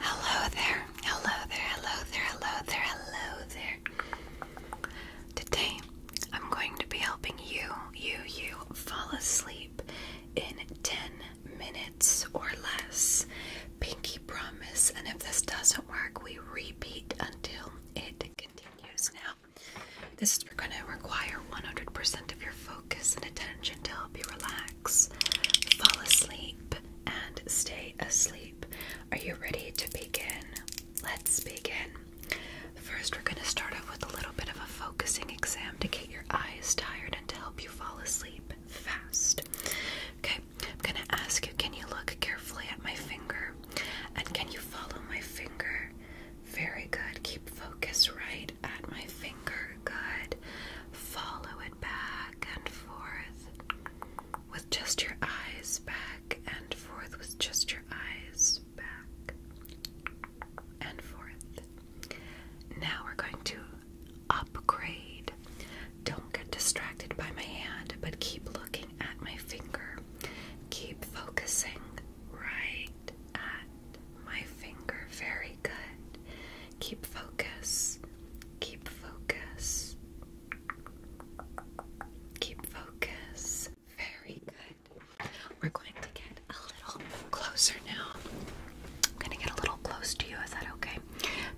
Hello there, hello there, hello there, hello there, hello there. Today, I'm going to be helping you, you, you fall asleep in 10 minutes or less. Pinky promise, and if this doesn't work, we repeat until it continues. Now, this is going to require 100% of your focus and attention to help you relax fall asleep, and stay asleep. Are you ready to begin? Let's begin. First, we're going to start off with a little bit of a focusing exam to get your eyes tired and to help you fall asleep fast. Okay, I'm going to ask you can you look carefully at my finger? And can you follow my finger? Very good. Keep focus right at my finger. Good. Follow it back and forth with just your eyes, back and forth with just your eyes, back and forth. Now we're going to upgrade. Don't get distracted by my hand, but keep looking at my finger. Keep focusing right at my finger. Very good. Keep focus. Keep focus. Keep focus. Very good. We're going to get a little closer now. I'm going to get a little close to you. Is that okay?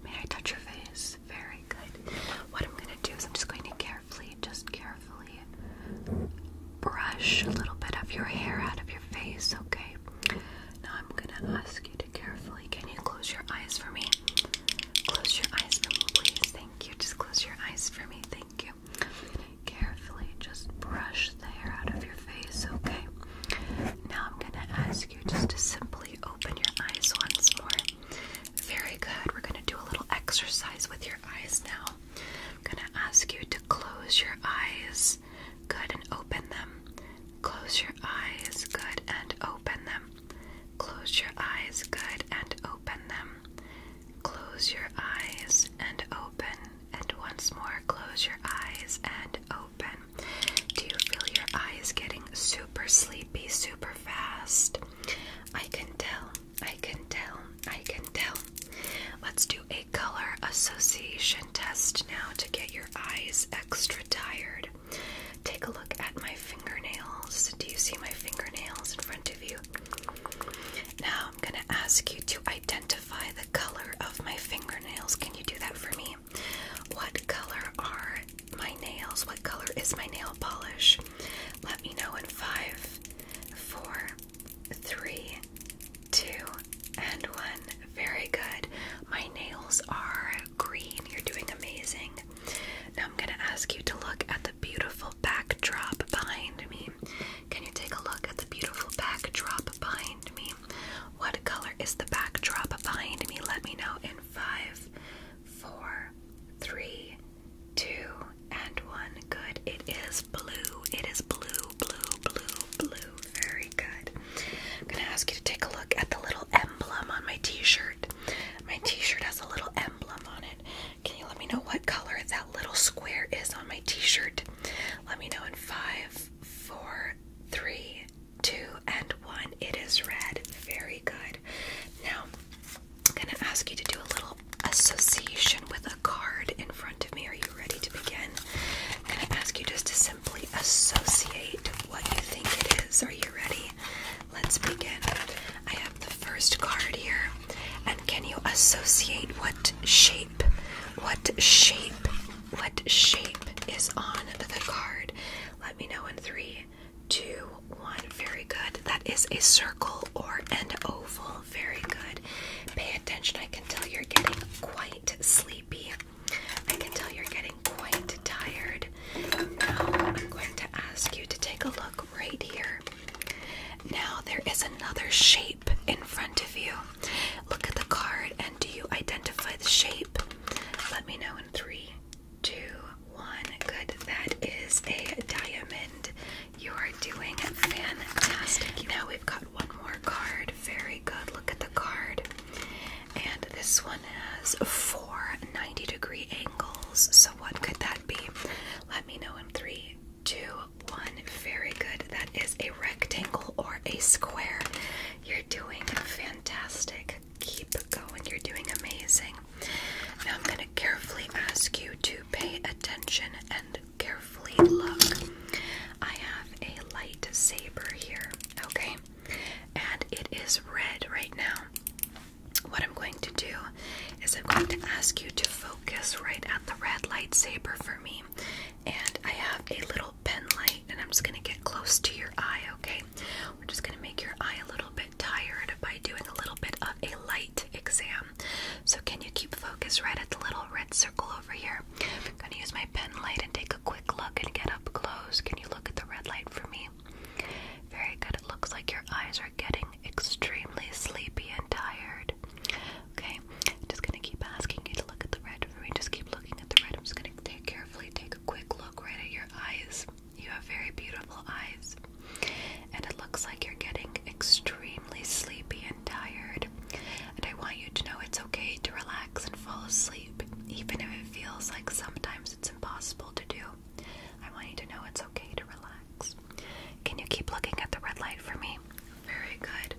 May I touch your face? Very good. What I'm going to do is I'm just going to carefully, just carefully brush a little bit of your hair out of your face, okay? Now I'm gonna ask you to carefully. Can you close your eyes for me? Close your eyes for me, please. Thank you. Just close your eyes for me. Thank you. Carefully, just brush the hair out of your face, okay? Now I'm gonna ask you just to simply open your eyes once more. Very good. We're gonna do a little exercise with your eyes now. I'm gonna ask you to close your eyes Good and open them. Close your eyes. Good and open them. Close your eyes. Good and open them. Close your eyes and open. And once more, close your eyes and open. Do you feel your eyes getting super sleepy, super fast? I can tell. I can tell. I can tell. Let's do a color association test now to get your eyes extra tired. Take a look at my fingernails. Do you see my fingernails in front of you? Now I'm going to ask you to identify the color of my fingernails. Can you do that for me? What color are my nails? What color is my nail polish? Let me know in five, four, three, two, and one. Very good. My nails are green. You're doing amazing. Now I'm going to ask you to look at the beautiful backdrop behind me. Can you take a look at the beautiful backdrop behind me? What color is the backdrop behind me? Let me know in five, four, three, two, and one. Good. It is blue. It is blue, blue, blue, blue very good. I'm gonna ask you to take a look at the little emblem on my t-shirt. My t-shirt has a little emblem on it. Can you let me know what color that little square is on my t-shirt? Let me know in five, four, three, two, and one. It is red. Very good. Now I'm gonna ask you to do a little association with a card in front of me. Are you ready to begin? I'm gonna ask you just to simply associate what you think it is. Are you ready? Let's begin. I have the first card here. And can you associate what shape? What shape? What shape is on the card? Let me know in three, two, one. Very good. That is a circle or an oval. Very good. Pay attention. I can tell you're getting quite sleepy. I can tell you're getting quite tired. Now I'm going to ask you to take a look right here. Now there is another shape in front of you. Look at the card and do you identify the shape? Let me know in three, two, one. Good. That is a diamond. You are doing fantastic. Now we've got one more card. Very good. Look at the card. And this one has four 90 degree angles. So, what could that be? Let me know in three, two, one. Very good. That is a rectangle or a square. You're doing fantastic. Keep going. You're doing amazing. Now, I'm going to carefully ask you to pay attention and carefully look. I have a light saber here, okay? and it is red right now. What I'm going to do is I'm going to ask you to focus right at the red lightsaber for me. And I have a little pen light, and I'm just going to get close to your eye, okay? We're just going to make your eye a little bit tired by doing a little bit of a light exam. So, can you keep focus right at the little red circle over here? I'm going to use my pen light and take a quick quick look and get up close. Can you look at the red light for me? Very good. It looks like your eyes are getting extremely sleepy and tired. Okay, I'm just gonna keep asking you to look at the red for me. Just keep looking at the red. I'm just gonna take carefully take a quick look right at your eyes. You have very beautiful eyes. And it looks like you're getting extremely sleepy and tired. And I want you to know it's okay to relax and fall asleep even if it feels like sometimes it's impossible to do. I want you to know it's okay to relax. Can you keep looking at the red light for me? Very good.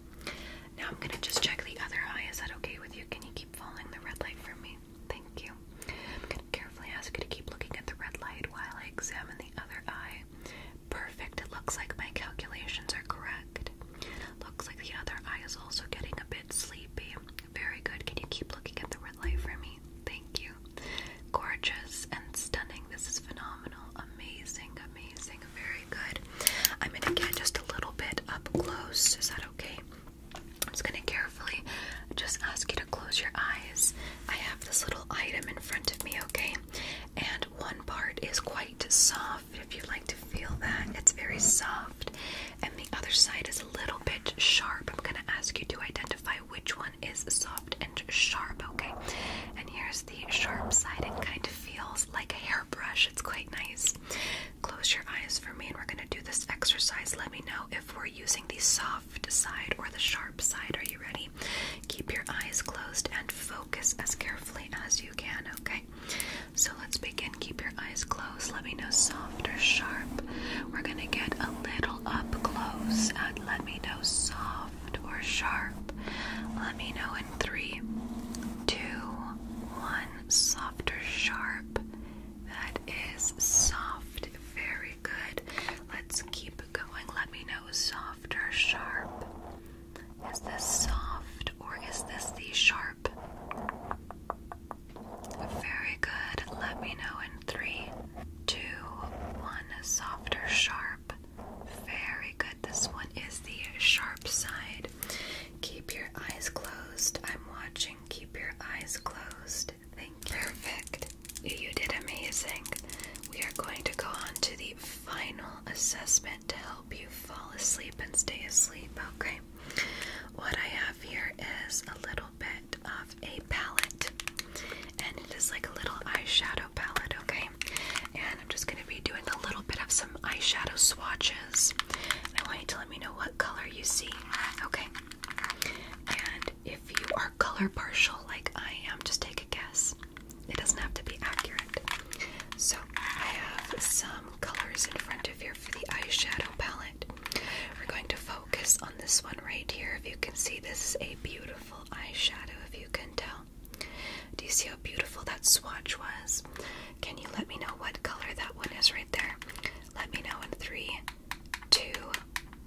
Now I'm going to just check the other eye. Is that okay with you? Can you keep following the red light for me? Thank you. I'm going to carefully ask you to keep looking at the red light while I examine the other eye. Perfect. It looks like my calculations are correct. Looks like the other eye is also getting a bit sleepy. Very good. Can you keep looking at the red light for me? Thank you. Gorgeous and stunning. This is phenomenal. Amazing, amazing. Very good. I'm going to get just a little bit up close. Is that okay? I'm just going to carefully just ask you to close your eyes. I have this little item in front of me, okay? And one part is quite soft. If you'd like to feel that, it's very soft and the other side is a little bit sharp. I'm going to ask you to identify which one is soft and sharp, okay? And here's the sharp side. It kind of feels like a hairbrush. It's quite nice. Close your eyes for me and we're going to do this exercise. Let me know if we're using the soft side or the sharp side. Are you ready? Keep your eyes closed and focus as carefully as you can, okay? so let's begin. Keep your eyes closed. Let me know soft or sharp. We're gonna get a little up close and let me know soft or sharp. Let me know in three, two, one. Soft or sharp. That is soft. Very good. Let's keep going. Let me know soft or sharp. Is this soft or is this the sharp? Very good. Let me know in three, two, one. Softer, sharp. Very good. This one is the sharp side. Keep your eyes closed. I'm watching. Keep your eyes closed. Thank you. Perfect. You did amazing. We are going to go on to the final assessment to help you fall asleep and stay asleep, okay? what I have here is a little bit of a palette, and it is like a little eyeshadow palette, okay? And I'm just gonna be doing a little bit of some eyeshadow swatches. I want you to let me know what color you see, okay? And if you are color partial like I am, just take a guess. It doesn't have to be accurate. So I have some colors in front of here for the eyeshadow palette. We're going to focus on this one right here. If you can see, this is a beautiful eyeshadow, if you can tell. Do you see how beautiful that swatch was? Can you let me know what color that one is right there? Let me know in three, two,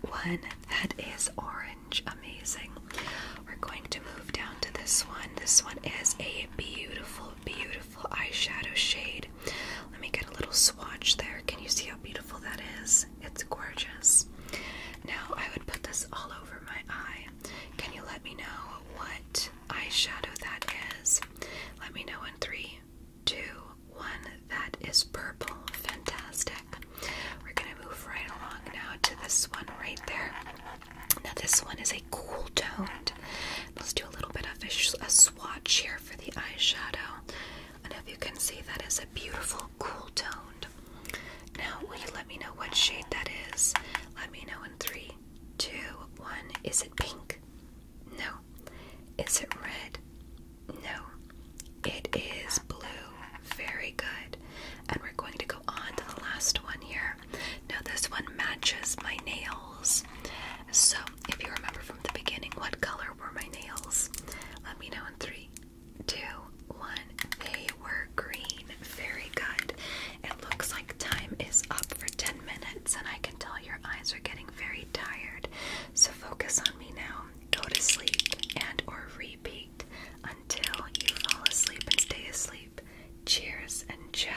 one. That is orange. Amazing. We're going to move down to this one. This one is a beautiful, beautiful eyeshadow shade. Let me get a little swatch there. Can you see how beautiful that is? It's gorgeous. Now I would put this all over my eye. Can you let me know what eyeshadow that is? Let me know in three, two, one. That is purple. Fantastic. We're going to move right along now to this one right there. Now, this one is a cool toned. Let's do a little bit of a swatch here for the eyeshadow. And if you can see, that is a beautiful cool toned. Now, will you let me know what shade that is? Let me know in three, two, one. Is it pink? No. Is it red? No. It is blue. Very good. And we're going to go on to the last one here. Now, this one matches my nails. So, if you remember from the beginning what color were my nails, let me know in three, two, one. They were green. Very good. It looks like time is up for 10 minutes, and I can tell your eyes are getting very tired. So focus on me now. Go to sleep and or repeat until you fall asleep and stay asleep. Cheers and ciao.